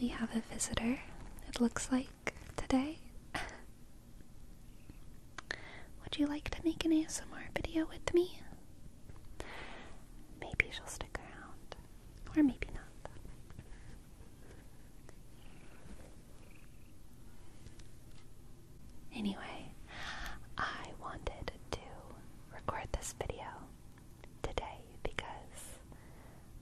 We have a visitor, it looks like, today. Would you like to make an ASMR video with me? Maybe she'll stick around, or maybe not. Anyway, I wanted to record this video today because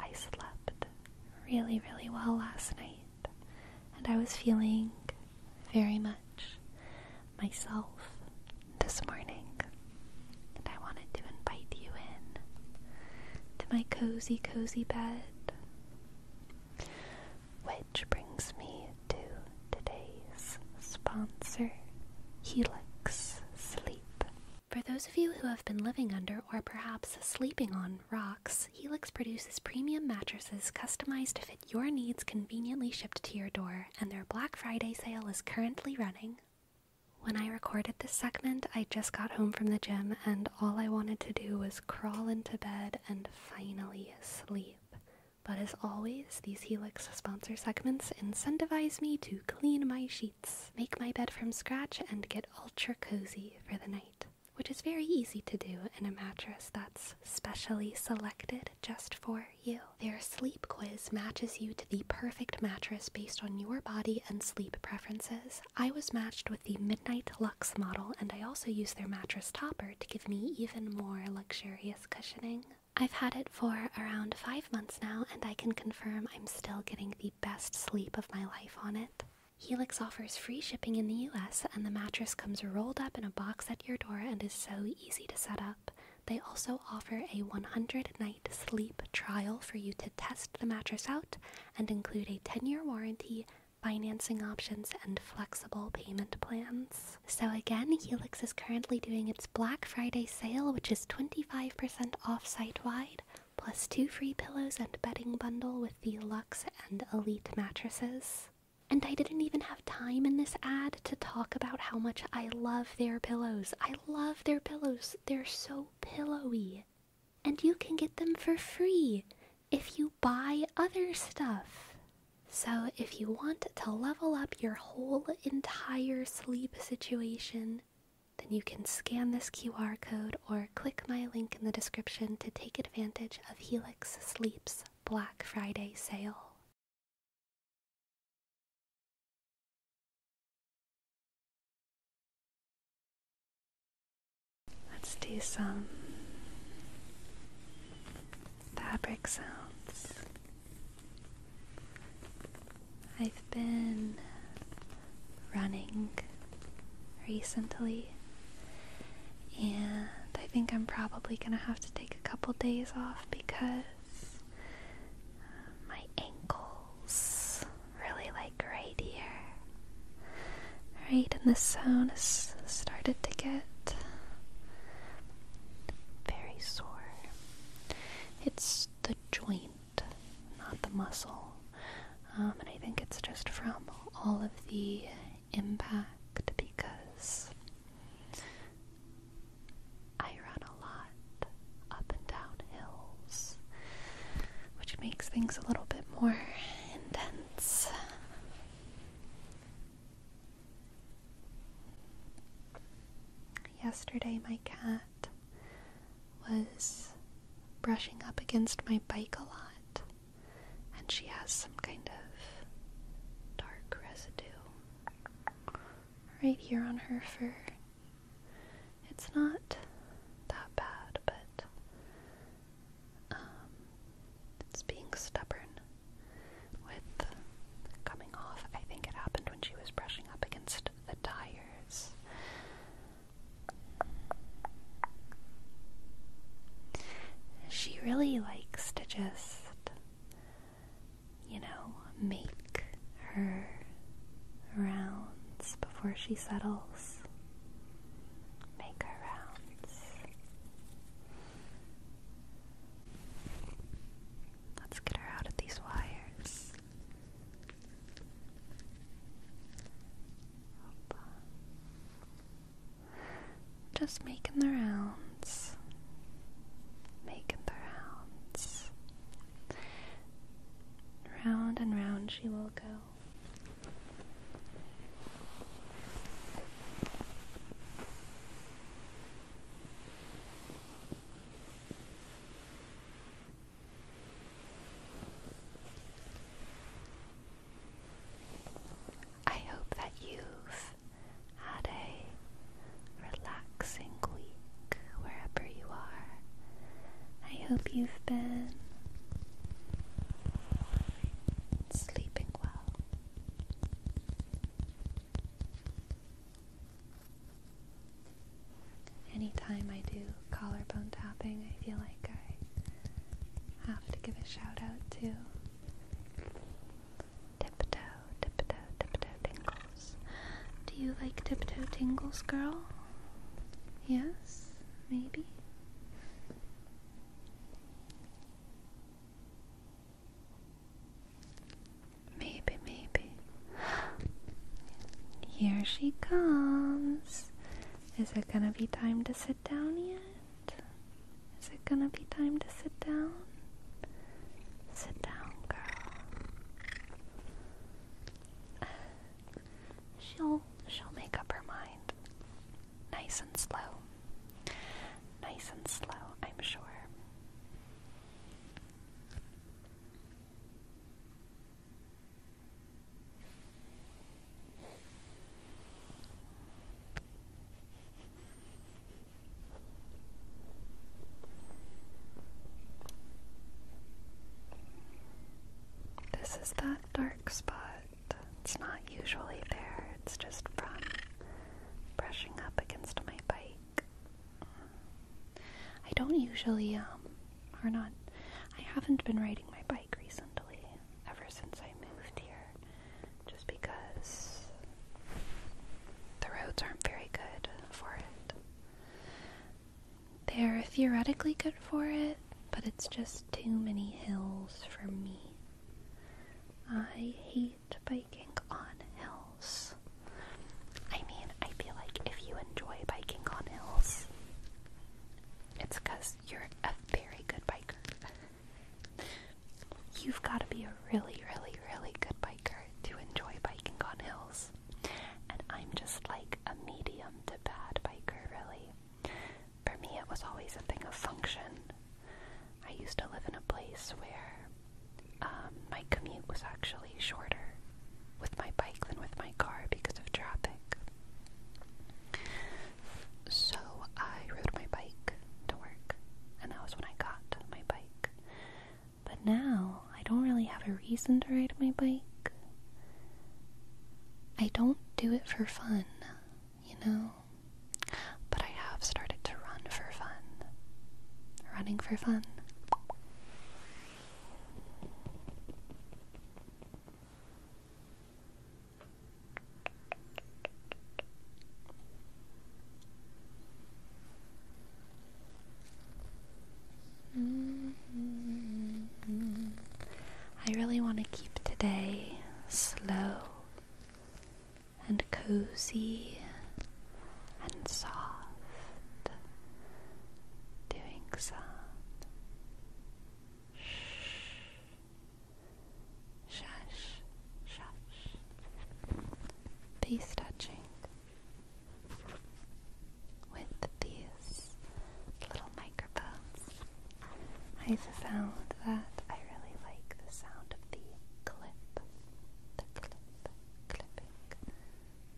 I slept really, really well last night and I was feeling very much myself this morning. And I wanted to invite you in to my cozy, cozy bed. Which brings me to today's sponsor, Helix Sleep. For those of you who have been living under or perhaps sleeping on rocks, Helix produces premium mattresses customized to fit your needs conveniently shipped to your door, and their Black Friday sale is currently running. When I recorded this segment, I just got home from the gym, and all I wanted to do was crawl into bed and finally sleep. But as always, these Helix sponsor segments incentivize me to clean my sheets make my bed from scratch, and get ultra cozy for the night, which is very easy to do in a mattress that's specially selected just for you. Their sleep quiz matches you to the perfect mattress based on your body and sleep preferences. I was matched with the Midnight Lux model, and I also used their mattress topper to give me even more luxurious cushioning. I've had it for around five months now, and I can confirm I'm still getting the best sleep of my life on it. Helix offers free shipping in the US, and the mattress comes rolled up in a box at your door and is so easy to set up. They also offer a 100 night sleep trial for you to test the mattress out and include a 10 year warranty, financing options, and flexible payment plans. So, again, Helix is currently doing its Black Friday sale, which is 25% off site wide plus two free pillows and bedding bundle with the Lux and Elite mattresses. And I didn't even have time in this ad to talk about how much I love their pillows. I love their pillows. They're so pillowy. And you can get them for free if you buy other stuff. So if you want to level up your whole entire sleep situation, then you can scan this QR code or click my link in the description to take advantage of Helix Sleep's Black Friday sale. Let's do some fabric sounds. I've been running recently, and I think I'm probably gonna have to take a couple days off because uh, my ankles really like right here. Right, and the zone has started to get very sore. It's the joint not the muscle. Um, and I think it's just from all of the impact because I run a lot up and down hills, which makes things a little bit more intense. Yesterday, my cat was brushing up against my bike a lot, and she has some kind of dark residue right here on her fur. It's not that bad, but um, it's being stubborn with coming off. I think it happened when she was brushing up against the tires. She really likes to just, you know, make her rounds before she settles. Make her rounds. Let's get her out of these wires. Just making the rounds. Making the rounds. Round and round she will go. I hope that you've had a relaxing week wherever you are. I hope you've been sleeping well. Anytime I do collarbone tapping, I feel like I have to give a shout out to Tiptoe, Tiptoe, Tiptoe Tingles. Do you like Tiptoe Tingles, girl? Yes? Maybe? Maybe, maybe. Here she comes. Is it gonna be time to sit down yet? Is it gonna be time to sit down? Sit down, girl. She'll she'll make up her mind. Nice and slow. Nice and slow, I'm sure. This is that dark spot. It's not usually there, it's just from brushing up against my bike. I don't usually um or not. I haven't been riding my bike recently, ever since I moved here, just because the roads aren't very good for it. They're theoretically good for it, but it's just too many hills for me. I hate biking on hills. I mean, I feel like if you enjoy biking on hills, it's because you're a very good biker. You've got to be a really, really, really good biker to enjoy biking on hills. And I'm just like a medium to bad biker, really. For me, it was always a thing of function. I used to live in a place where um, my commute was actually shorter with my bike than with my car because of traffic. So I rode my bike to work, and that was when I got my bike. But now I don't really have a reason to ride my bike. I don't do it for fun, you know? But I have started to run for fun. Running for fun. Mm-hmm. I really want to keep today slow and cozy and soft doing some shush, shush, face touching with these little microphones. i found that I really like the sound of the clip, the clip, clipping,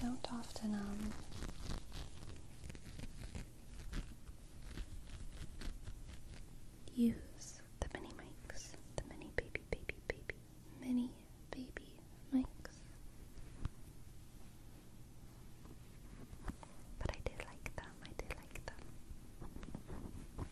I don't often um use the mini mics, the mini baby baby baby mini baby mics. But I do like them, I do like them.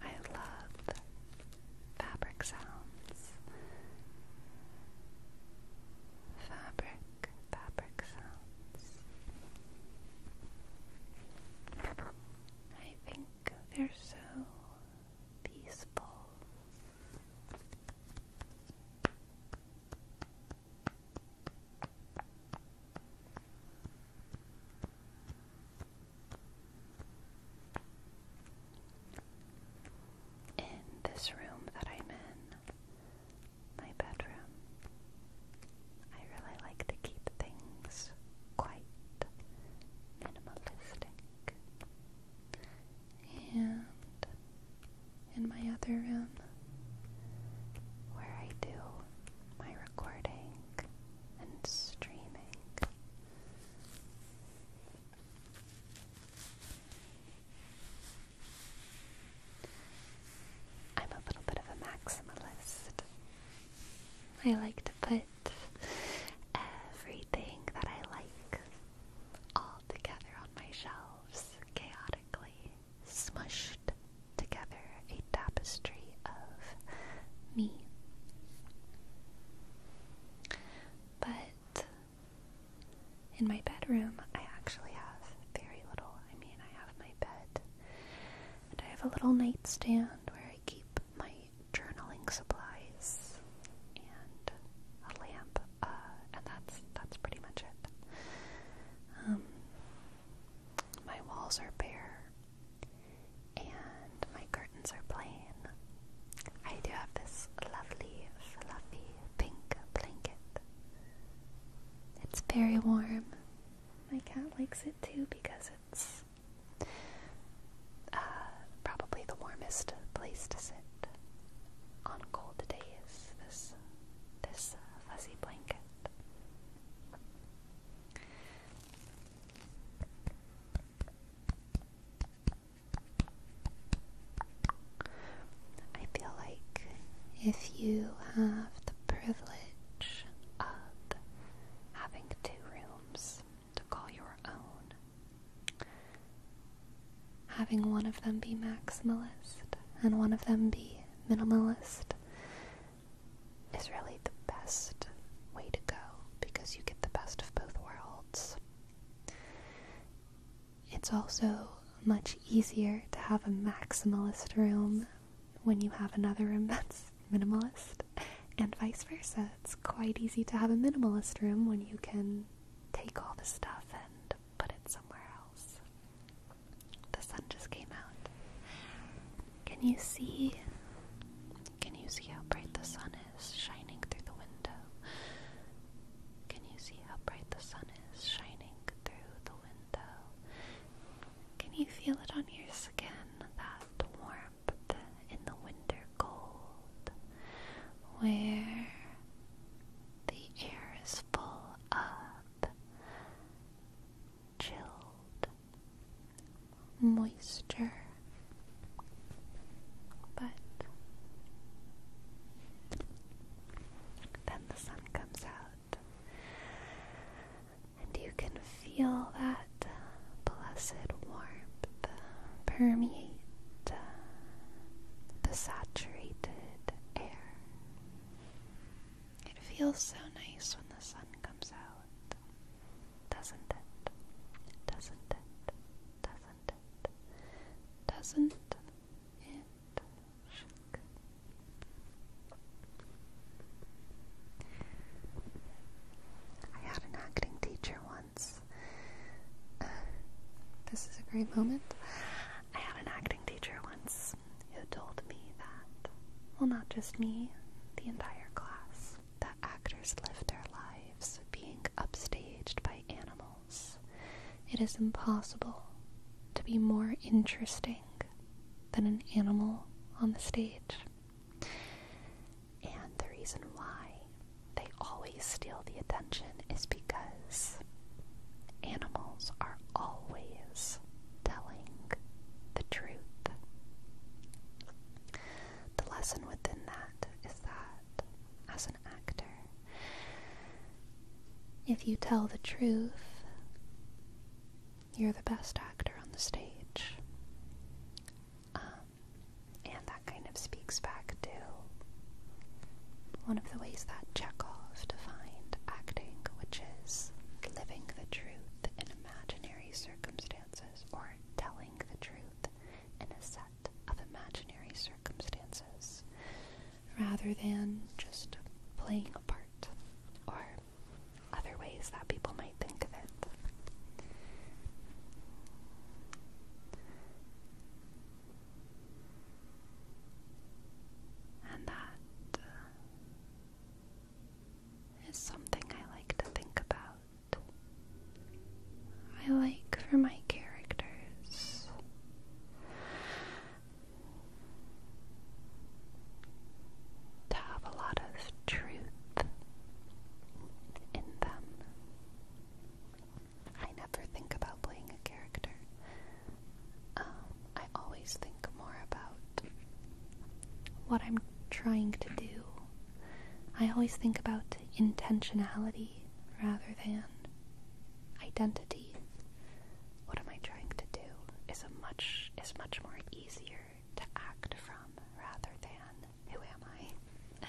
I love fabric sounds. Fabric, fabric sounds. I think they're so peaceful. In this room that I'm in, my bedroom. I really like to keep things quite minimalistic. And in my other room, where I do my recording and streaming. I'm a little bit of a maximalist. I like to put everything that I like all together on my shelves, chaotically smushed together a tapestry of me. But in my bedroom, I actually have very little. I mean, I have my bed and I have a little nightstand where I keep my journaling supplies and a lamp, uh, and that's that's pretty much it. Um, my walls are bare, and my curtains are plain. I do have this lovely, fluffy pink blanket. It's very warm my cat likes it too because it's uh, probably the warmest place to sit on cold days. This this uh, fuzzy blanket. I feel like if you have the privilege of having two rooms to call your own. Having one of them be maximalist and one of them be minimalist is really the best way to go because you get the best of both worlds. It's also much easier to have a maximalist room when you have another room that's minimalist, and vice versa. It's quite easy to have a minimalist room when you can take all the stuff and put it somewhere else. The sun just came out. Can you see? Can you see how bright the sun is shining through the window? Can you see how bright the sun is shining through the window? Can you feel it on your skin? That warmth in the winter cold, where the air is full of chilled moisture, but then the sun comes out and you can feel that blessed warmth permeate uh, the saturated air. It feels so nice when the sun comes out, doesn't it? Doesn't it? Doesn't it? Doesn't it? I had an acting teacher once. this is a great moment. I had an acting teacher once who told me that, well, not just me, the entire class, that actors live their lives being upstaged by animals. It is impossible to be more interesting than an animal on the stage. And the reason why they always steal the attention is because animals are always telling the truth. The lesson within that is that as an actor, if you tell the truth, you're the best actor on the stage. Um, and that kind of speaks back to one of the ways that Chekhov defined acting, which is living the truth in imaginary circumstances or telling the truth in a set of imaginary circumstances rather than just playing a part or other ways that people might think of it. And that uh, is something I like to think about. I like for my characters to have a lot of truth in them. I never think about playing a character. Um, I always think more about what I'm trying to do. I always think about intentionality rather than identity what am I trying to do is a much is much more easier to act from rather than who am I?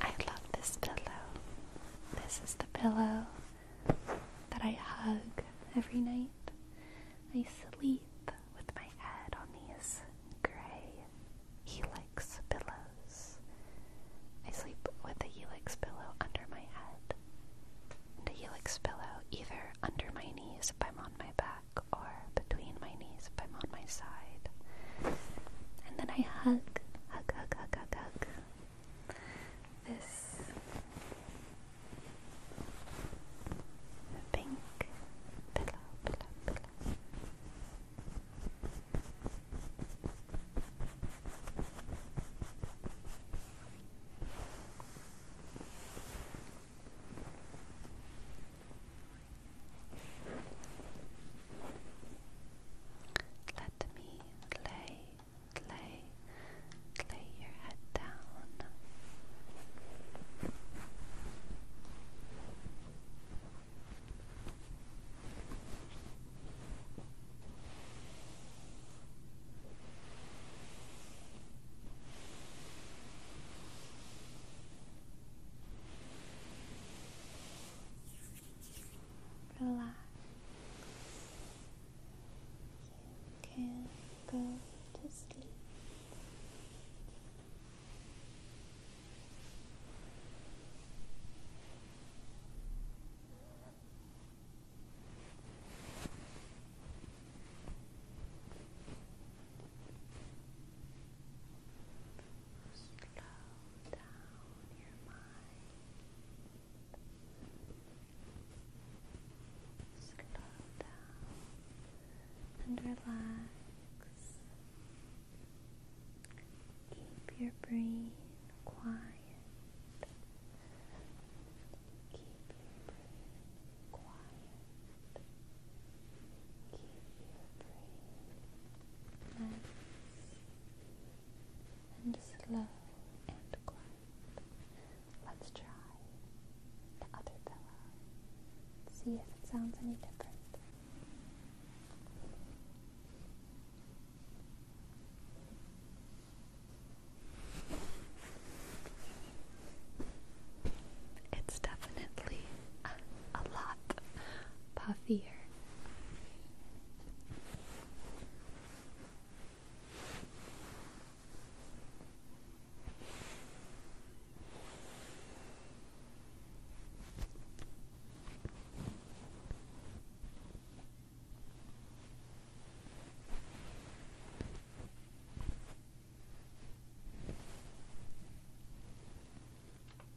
I love this pillow. This is the pillow that I hug every night. I sleep with my head on these gray helix pillows. I sleep with a helix pillow under my head and a helix pillow either under my knees if I'm on my back or between my knees if I'm on my side. And then I hug, hug, hug, hug, hug, hug this pink pillow, pillow, pillow. Let me lay, lay, lay your head down. Relax. can go to sleep. Slow down your mind. Slow down and relax. Keep your brain quiet. Keep your brain quiet. Keep your brain nice and slow and quiet. Let's try the other pillow. See if it sounds any different. It's definitely a lot puffier.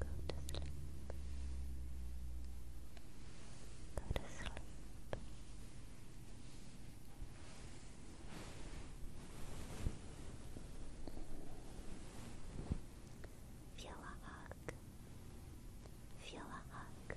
Go to sleep. Go to sleep. Feel a hug. Feel a hug.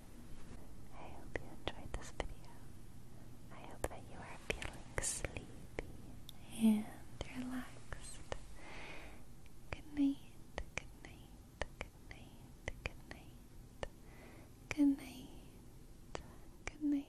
I hope you enjoyed this video. I hope that you are feeling sleepy and relaxed. Good night, good night, good night, good night, good night, good night.